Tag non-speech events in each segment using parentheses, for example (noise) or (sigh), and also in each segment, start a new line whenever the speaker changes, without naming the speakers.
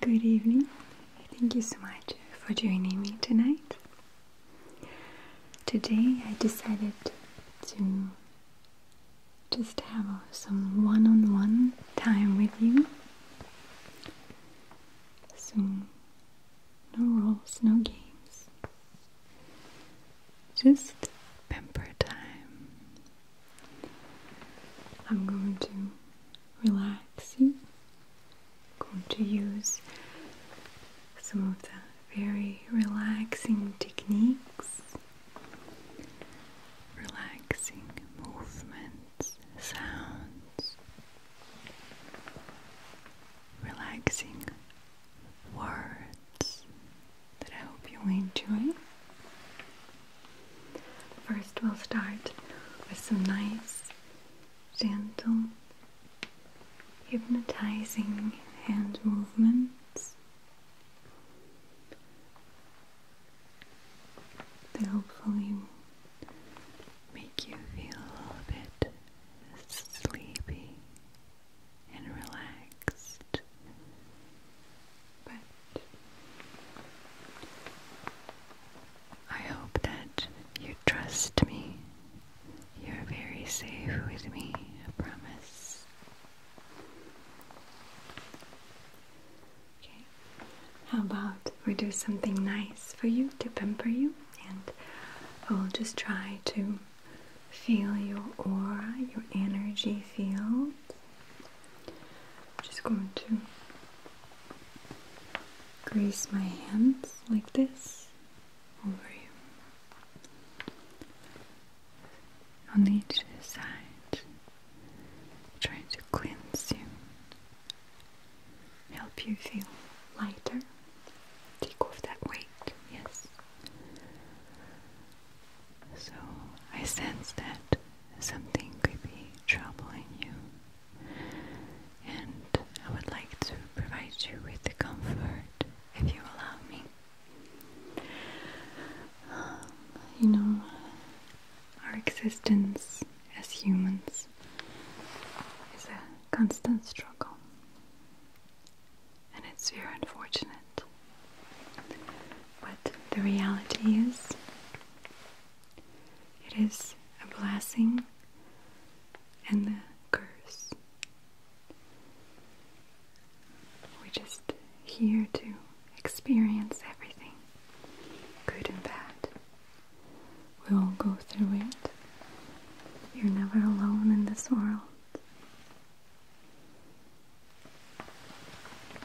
Good evening. Thank you so much for joining me tonight. Today I decided to just have some one on one time with you. So, no rules, no games. Just pamper time. I'm going to relax you. I'm going to use some of the very relaxing techniques, relaxing movements, sounds, relaxing words that I hope you'll enjoy. First, we'll start with some nice, gentle, hypnotizing hand movements. They hopefully make you feel a bit sleepy and relaxed. But I hope that you trust me. You're very safe with me, I promise. Okay, how about we do something nice for you to pamper you? And I'll just try to feel your aura, your energy field. I'm just going to grease my hands like this over you on each side, trying to cleanse you, help you feel lighter, take off that weight, yes. So I sense that something could be troubling you, and I would like to provide you with the comfort if you allow me. Um, you know, our existence as humans is a constant struggle, and it's very unfortunate. But the reality is, it is a blessing and a curse. We're just here to experience everything, good and bad. We all go through it. You're never alone in this world.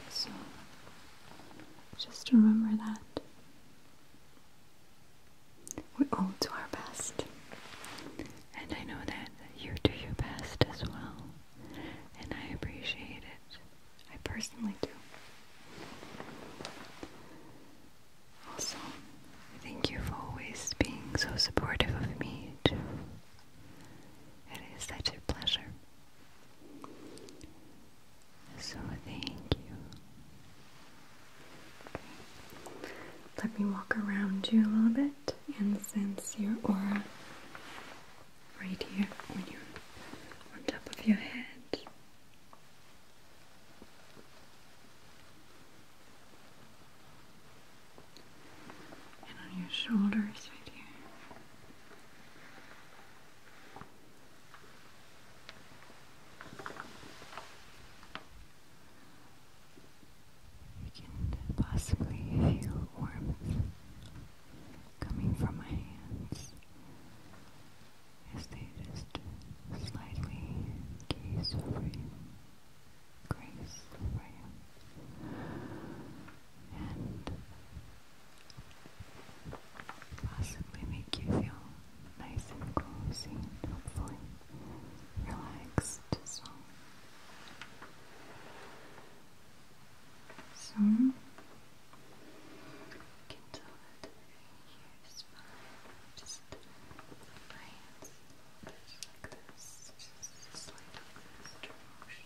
So just remember that we all do our best, and I know that you do your best as well, and I appreciate it. I personally do. Also, thank you for always being so supportive of me, too. It is such a pleasure. So thank you. Let me walk around you a little bit and sense your aura right here on top of your head and on your shoulders right here. You can possibly feel warmth coming from my hands as they just slightly gaze over you, grace over you and possibly make you feel nice and cozy and hopefully relaxed as well. So, can tell that your spine just lines just like this, just motion.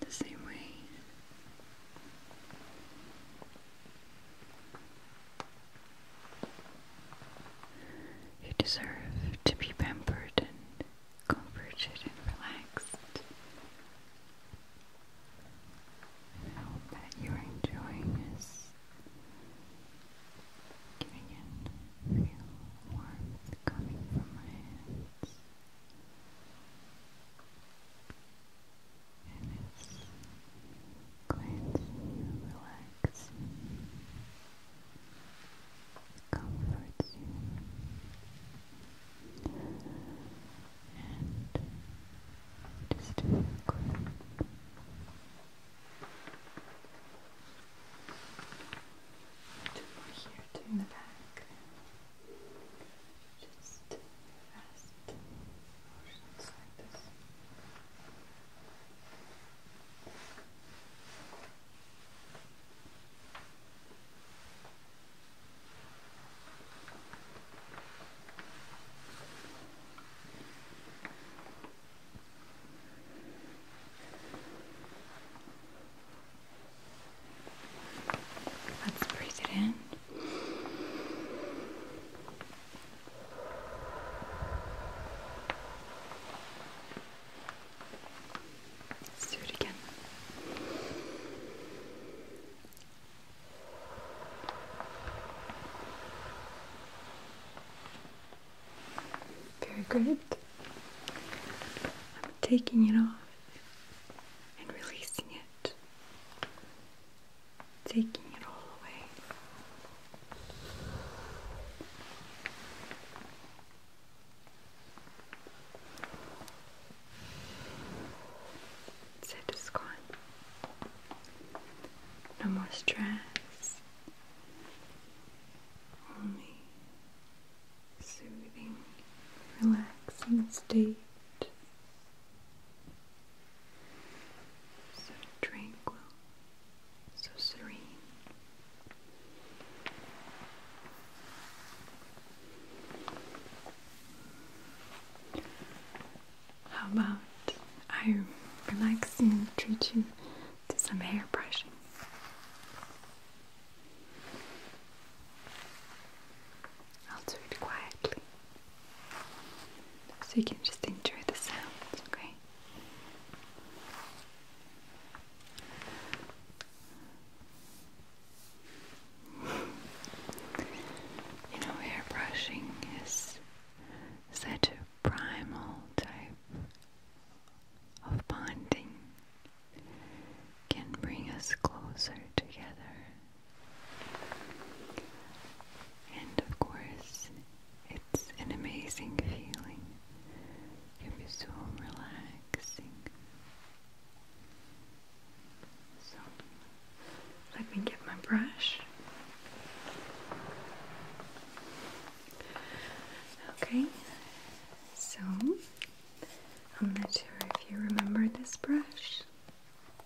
the same way. You deserve to be pampered and comforted and relaxed. I hope that you're enjoying this. Getting in warmth coming from my hands, and it's cleansing, relaxing, comforts you, and just to feel good. Two more here, two in the back. Just fast motions like this. Let's breathe it in. do it again. Very good. I'm taking it off and releasing it, taking it all away. So it's No more stress. Only soothing, relaxing state. So tranquil, so serene. How about I relax and treat you do some hair brushing. I'll do it quietly so you can just enjoy the sounds, okay? You know, hair brushing is such a primal type of bonding can bring us closer together. And of course, it's an amazing feeling. It can be so relaxing. So, let me get my brush. Okay, so, I'm not sure if you remember this brush.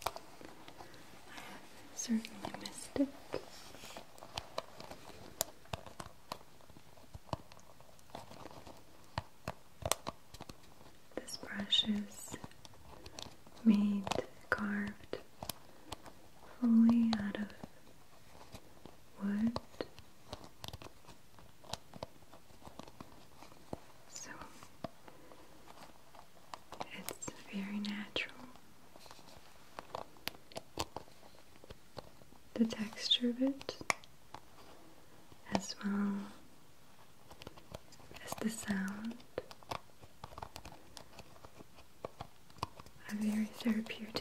I have certainly missed it. This brush is made, carved fully out of wood so it's very natural. The texture of it, as well as the sound, are very therapeutic.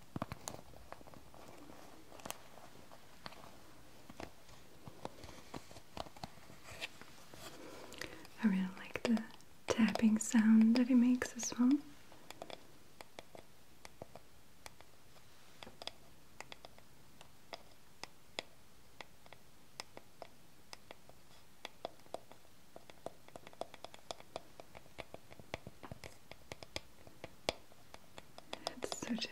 I really like the tapping sound that it makes as well. It's so gentle.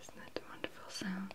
Isn't that a wonderful sound?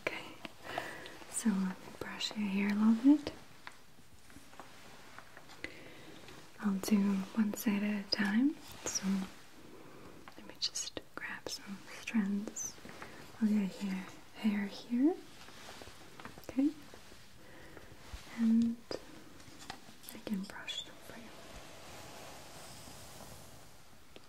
Okay, so let me brush your hair a little bit. I'll do one side at a time, so let me just grab some strands Oh your hair, hair here. Okay, and I can brush them for you.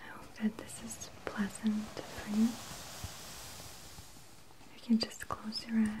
I hope that this is pleasant for you. You can just close your eyes.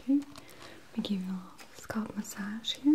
Okay, Let me give you a scalp massage here.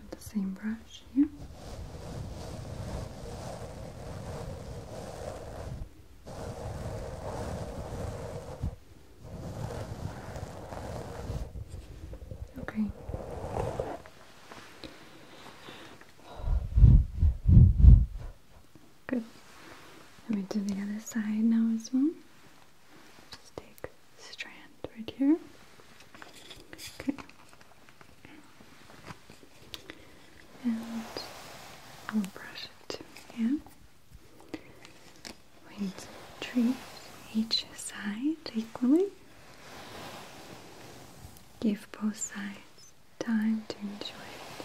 with the same brush here. Okay. Good. Let me do the other side now as well. Just take strand right here. Okay. And we'll brush it again. We need to treat each side equally. Give both sides time to enjoy it.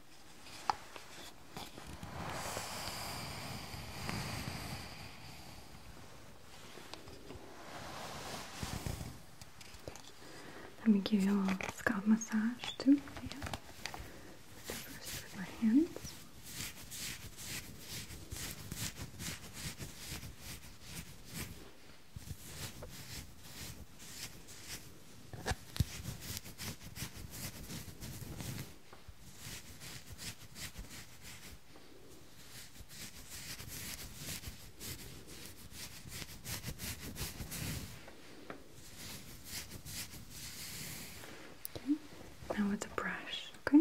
Let me give you a little scalp massage too. first with my hands. Now with the brush, okay?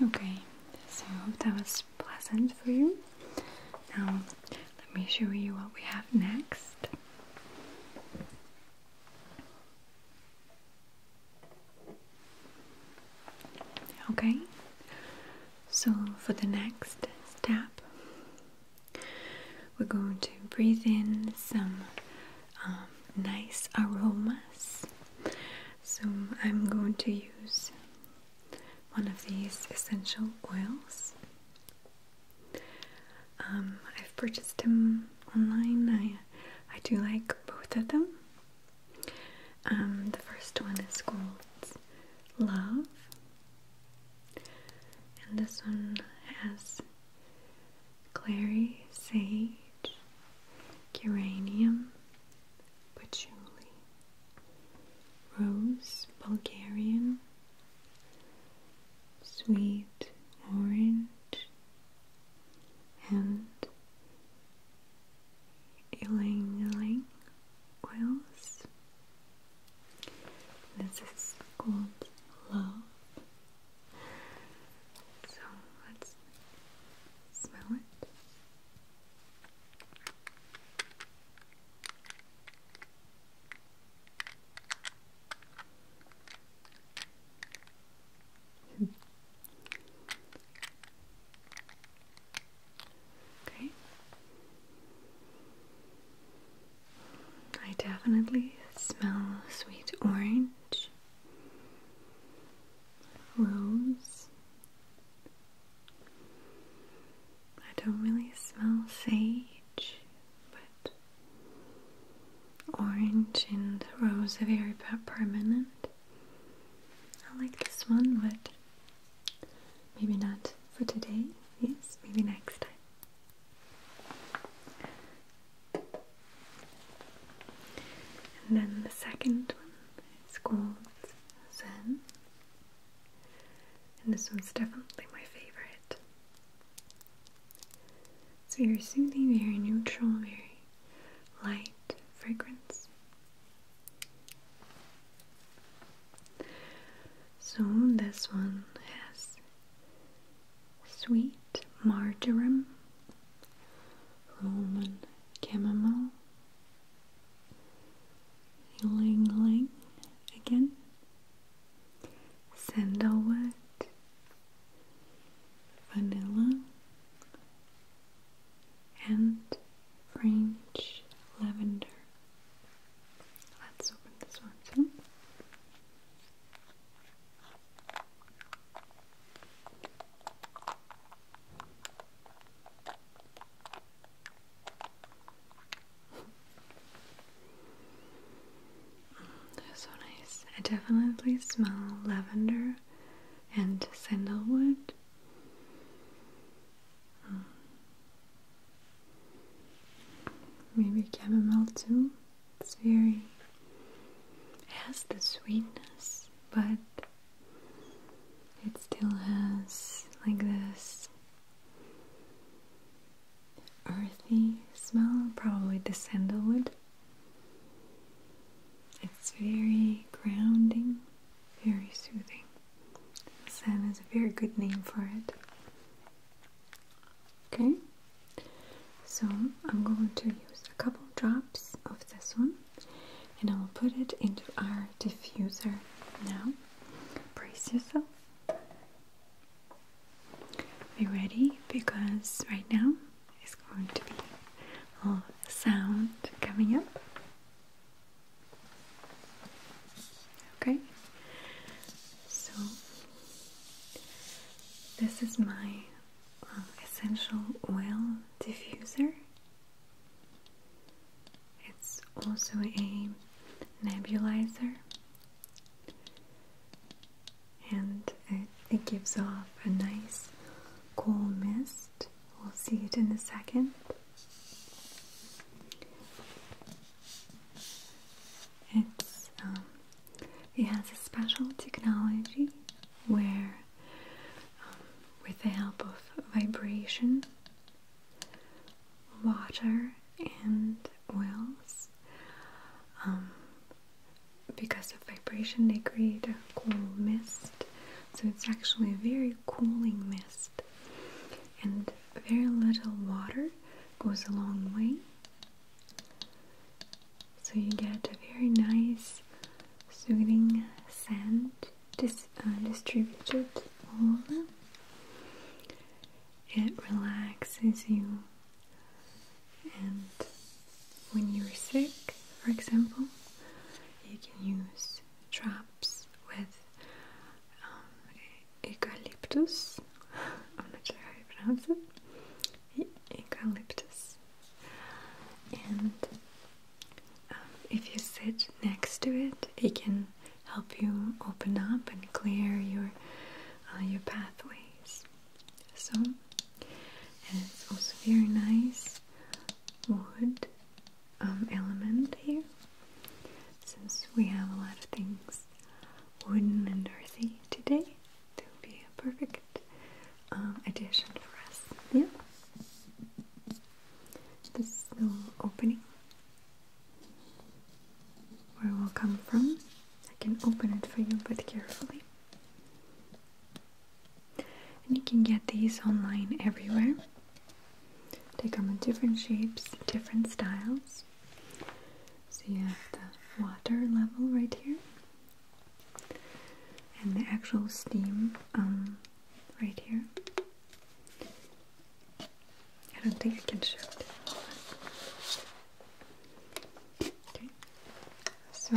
Okay, so I hope that was pleasant for you. Now, let me show you what we have next. Okay, so for the next step, we're going to breathe in some um, nice aromas. So, I'm going to use one of these essential oils um, I've purchased them online. I I do like both of them. Um, the first one is called Love, and this one has clary, sage, uranium, patchouli, rose, Bulgarian, sweet orange and ylang oils. This is called love. So let's smell it. Hmm. okay. I definitely smell sweet orange, rose. I don't really smell sage, but Orange and rose are very permanent. I like this one, but maybe not for today. Yes, maybe next time. And then the second one is called Zen. And this one's definitely my favorite. So you're soothing, very neutral, very light fragrance. So this one has sweet marjoram, Roman chamomile, ylang ylang again, sandalwood, vanilla, and French lavender. Let's open this one so nice. I definitely smell lavender and sandalwood. Hmm. Maybe chamomile too. It's very has the sweetness, but it still has like this earthy smell, probably the sandalwood. It's very grounding, very soothing. Sand is a very good name for it. Okay, so I'm going to use a couple drops of this one and I'll put it into our diffuser now. Brace yourself. Be ready because right now it's going to be a sound coming up. Okay, so this is my um, essential oil diffuser. It's also a nebulizer and it, it gives off a nice cool mist. We'll see it in a second. It's um, it has a special technology where, um, with the help of vibration, water and oils um, because of vibration, they create a cool mist. So it's actually a very cooling mist. And very little water goes a long way. So you get a very nice, soothing scent uh, distributed over. It relaxes you and when you're sick, for example, you can use traps with um, eucalyptus. I'm not sure how you pronounce it. eucalyptus. And um, if you sit next to it, it can help you open up and clear your uh, your pathway. So, and it's also very nice wood um, element here, since we have a lot of things wooden and earthy today. That would be a perfect um, addition for us. Yeah, this little opening where it will come from. I can open it for you, but carefully. And you can get these online everywhere. They come in different shapes, different styles. So you have the water level right here, and the actual steam um, right here. I don't think I can show it. Okay. So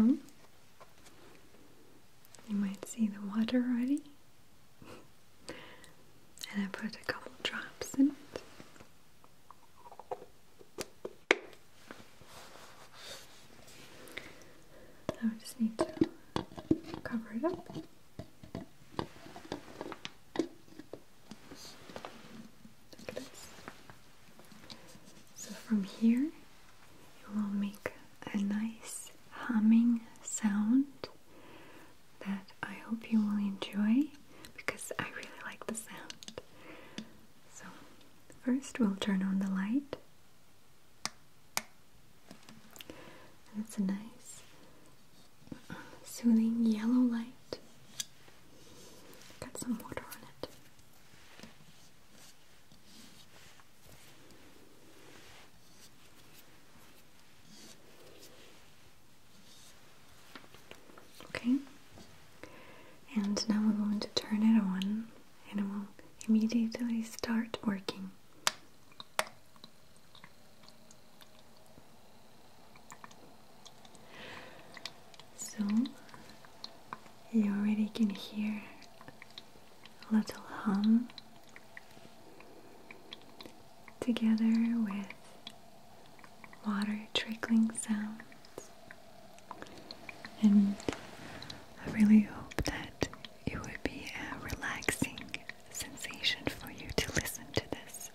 you might see the water already. (laughs) and I put a couple drops in it. I just need to cover it up. So from here, you will make a nice humming sound that I hope you will enjoy because I really like the sound. So, first we'll turn on the light. And it's a nice soothing yellow light. Got some water on it. Okay, and now we're going to turn it on and it will immediately start working. So you already can hear a little hum together with water trickling sounds and I really hope that it would be a relaxing sensation for you to listen to this.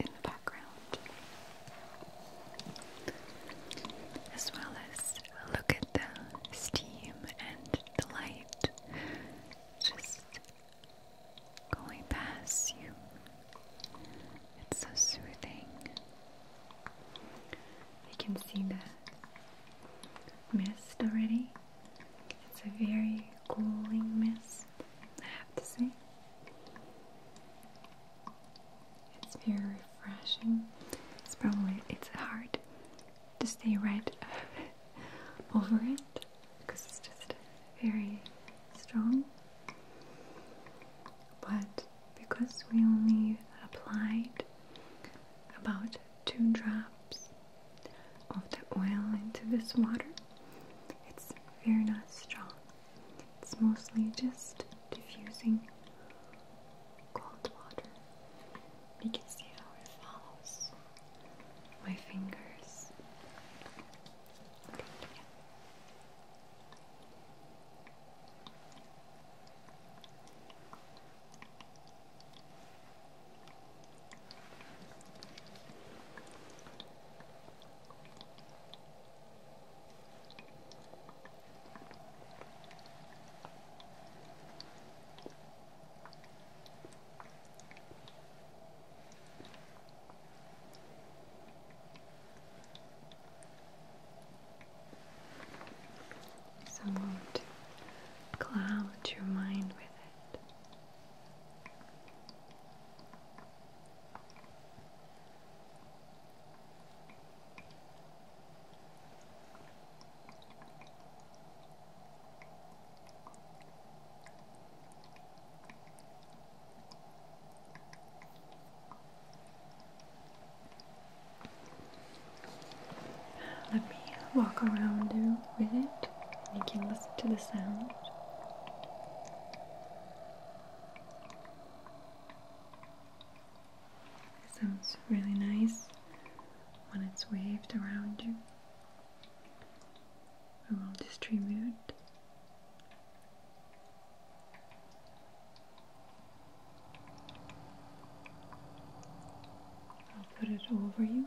As well as look at the steam and the light just going past you. It's so soothing. You can see the mist already. It's a very cooling mist, I have to say. It's very refreshing. It's probably it's hard to stay right (laughs) over it because it's just very strong. But because we only applied about two drops of the oil into this water, it's very not strong. It's mostly just diffusing cold water. You can see how it follows my fingers. So won't cloud your mind with it. Let me walk around you with it and you can listen to the sound. It sounds really nice when it's waved around you. I will distribute I'll put it over you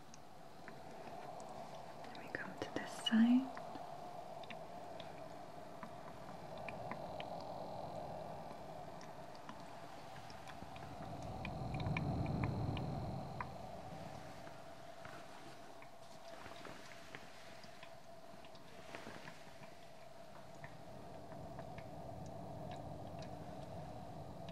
Let me come to this side.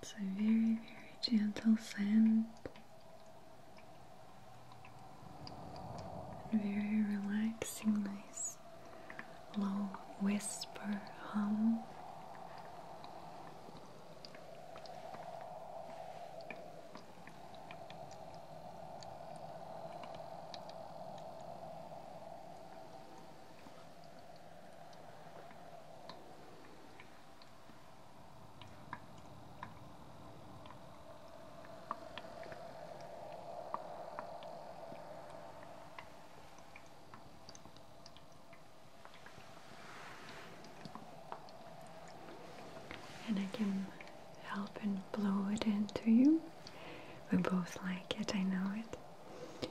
It's a very, very gentle sound, Very relaxing, nice low whisper hum. And I can help and blow it into you. We both like it, I know it.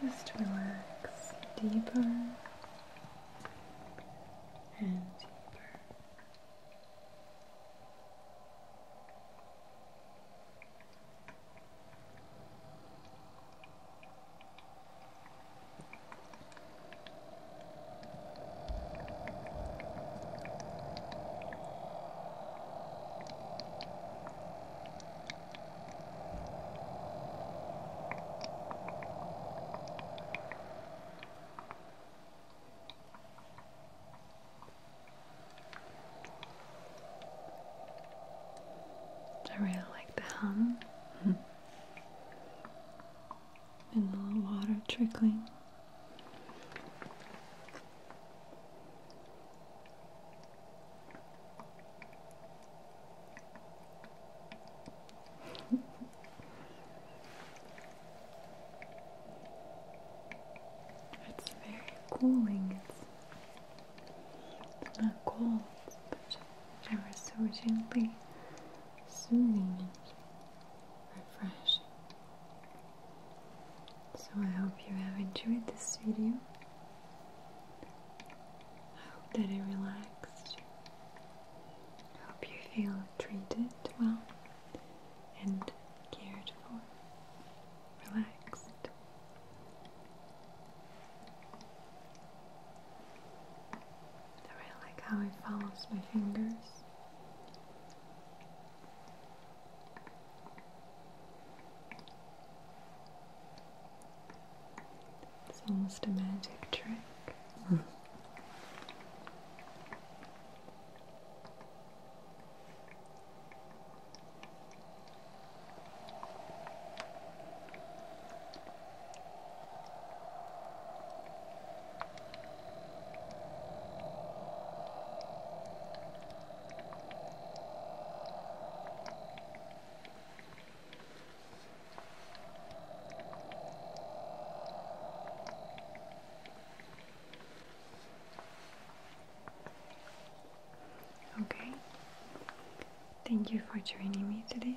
Just relax deeper and deeper. I really like the hum (laughs) and the little water trickling. It's very cooling. It's not cold, but ever so gently soothing and refreshing. So I hope you have enjoyed this video. I hope that it relaxed. I hope you feel treated well and cared for, relaxed. I really like how it follows my fingers. It's almost a magic trick. (laughs) Okay, thank you for joining me today.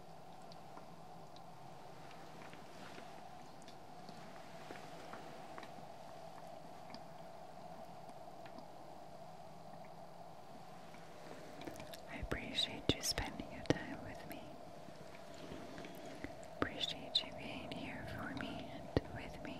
I appreciate you spending your time with me. Appreciate you being here for me and with me.